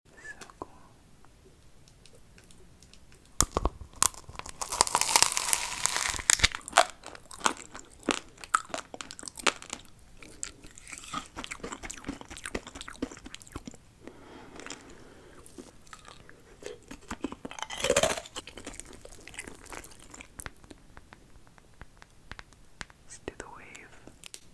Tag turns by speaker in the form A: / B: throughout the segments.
A: So cool. do the wave.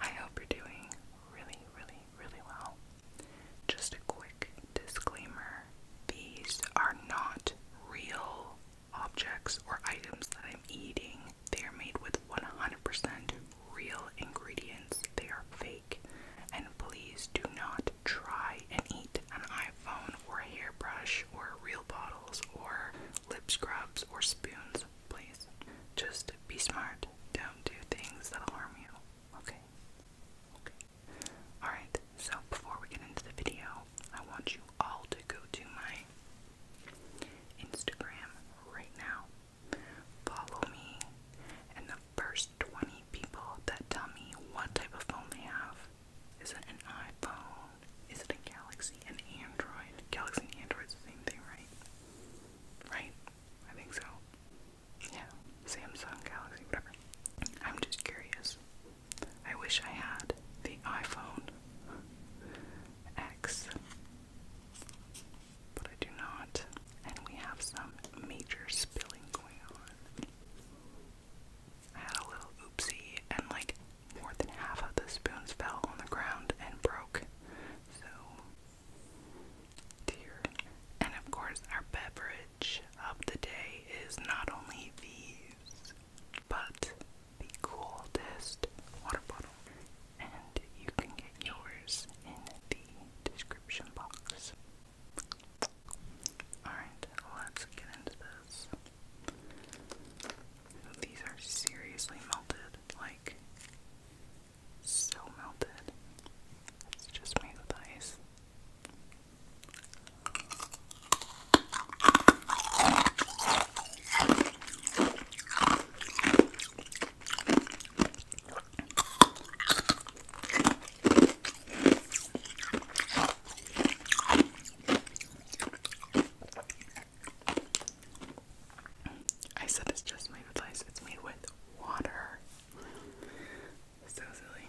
A: I hope you're doing really, really, really well. Just a quick disclaimer these are not real objects or items that I'm eating. They are made with 100% real ingredients, they are fake. And please do not try and eat an iPhone or hairbrush or real bottles or lip scrubs or spoons, please. Just be smart. Don't do things that will harm you. Okay? Okay. Alright, so before we get into the video, I want you all to go to my Instagram right now. Follow me and the first 20 people that tell me what type of phone they have is it an iPhone? Is it a Galaxy? An Android? Galaxy and Android's the same thing, right? Right? I think so. Yeah. Samsung, Galaxy, whatever. I'm just curious. I wish I had the iPhone X. But I do not. And we have some major spilling going on. I had a little oopsie, and like more than half of the spoons fell on the ground and broke. So, dear. And of course, our beverage of the day is not only these, but the coolest water bottle. And you can get yours in the description box. Alright, let's get into this. These are seriously melted, like so melted. It's just made with ice. I said it's just made with ice, it's made with water. So silly.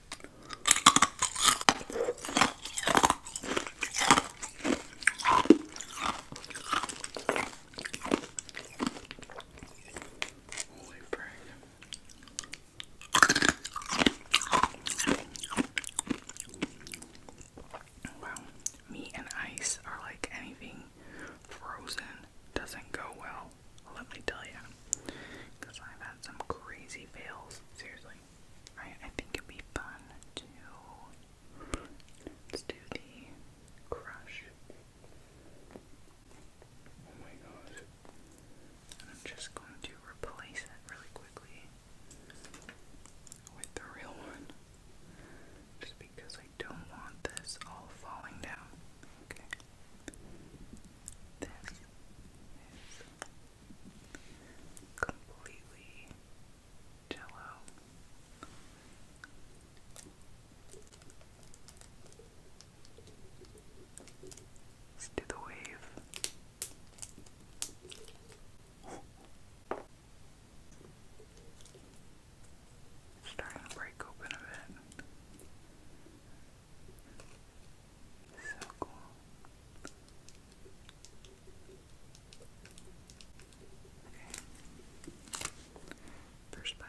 A: Holy meat and ice are like anything frozen doesn't go well let me tell you, because I've had some crazy fails. Seriously, I I think it'd be fun to let's do the crush. Oh my god! I'm just going to replace it really quickly with the real one, just because I don't want this all falling down. Okay. This is completely jello. Let's do the wave. starting to break open a bit. So cool. Okay. First bite.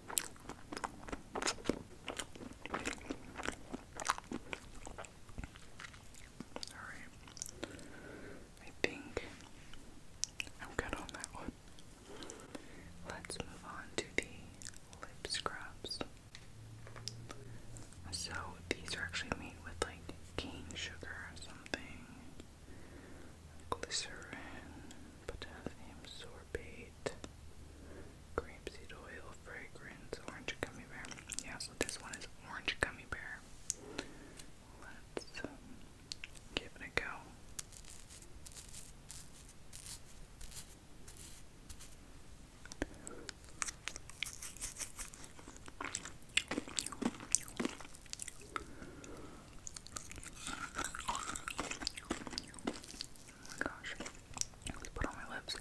A: Alright. I think I'm good on that one. Let's move on to the lip scrubs. So these are actually made with like cane sugar or something glycerin, potassium sorbate, grapeseed oil, fragrance, orange gummy bear. Yeah, so this one is orange gummy bear. Let's um, give it a go. Oh my gosh. Let's put on my lips.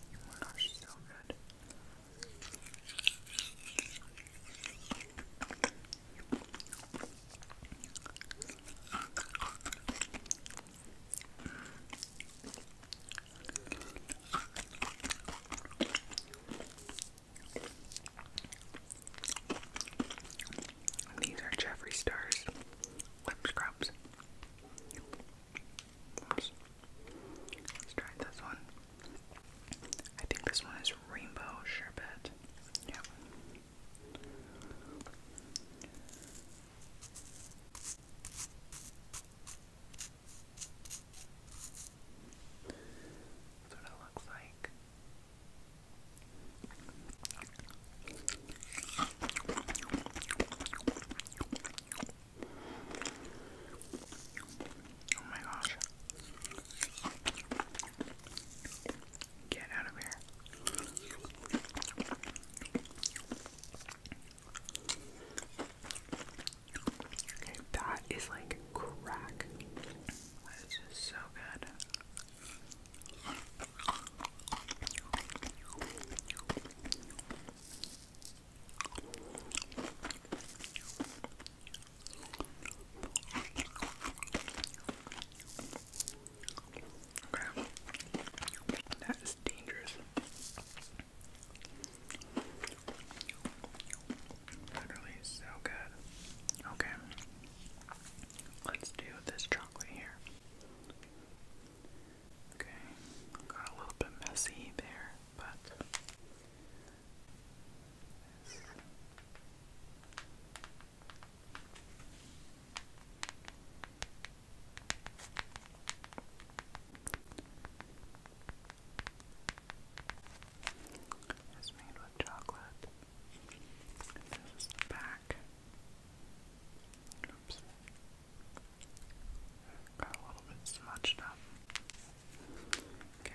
A: Oh my gosh, so good. These are Jeffree Star's lip scrubs. Let's try this one. I think this one is Rainbow Sherbet. Yep. That's what it looks like. Oh my gosh. Get out of here. Okay, that is like crack. This is so good. Okay. That is dangerous. Literally so good. Okay. Let's do this chocolate here. Okay. Got a little bit messy there, but it's made with chocolate. And back. Got a little bit smudged up. Okay.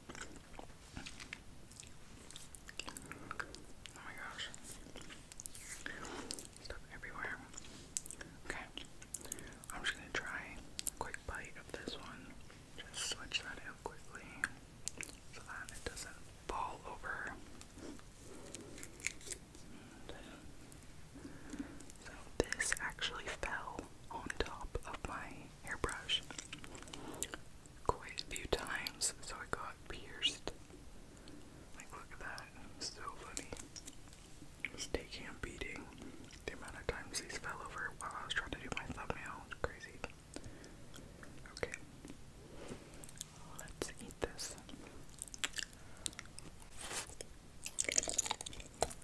A: Oh my gosh. Stuff everywhere. Okay. I'm just gonna try a quick bite of this one. Just switch that out quickly so that it doesn't fall over. so this actually fell on top of my hairbrush quite a few times, so it got pierced. Like, look at that. So funny. taking a beating. The amount of times these fell over while I was trying to do my thumbnail. crazy. Okay. Let's eat this.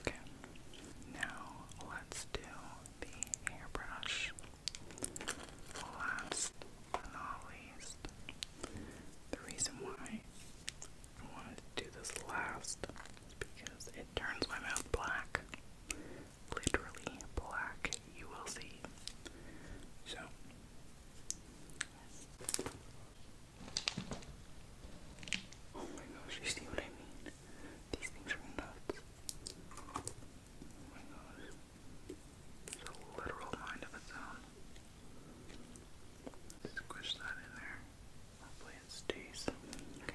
A: Okay, now let's do the hairbrush. Last but not least, the reason why I wanted to do this last is because it turns my mouth black. Literally black, you will see. So. Oh my gosh, you see what I mean? These things are nuts. Oh my literal mind of its own. Squish that in there. Hopefully it stays. Okay.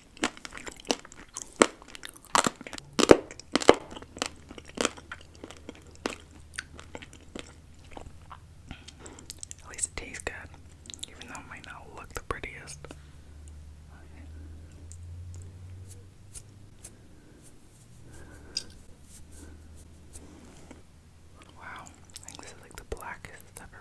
A: At least it tastes good, even though it might not look the prettiest. Wow, I think this is like the blackest ever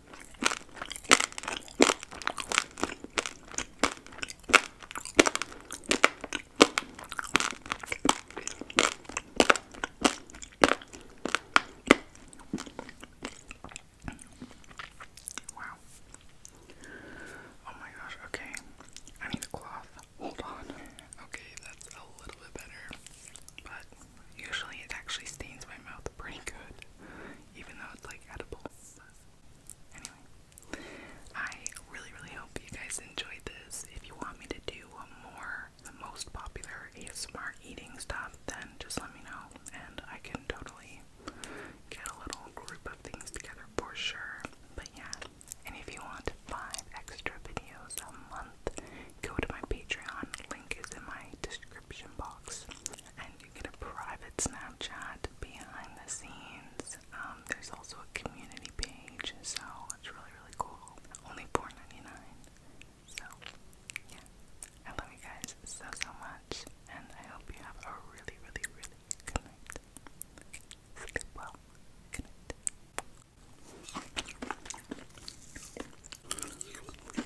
A: Wow. Oh my gosh, okay. I need a cloth. Hold on. Okay, that's a little bit better. But usually it actually stains my mouth pretty good even though it's like edible. Anyway, I really, really hope you guys enjoyed this. If you want me to do more, the most popular ASMR eating stuff, then just let me know, and I can totally get a little group of things together for sure. But yeah, and if you want five extra videos a month, go to my Patreon. Link is in my description box. And you get a private Snapchat behind the scenes. Um, there's also a community page, so it's really, really cool. Only 4 So, yeah. I love you guys so, so much, and I hope you have a really, really, really good night. sleep well. Good night.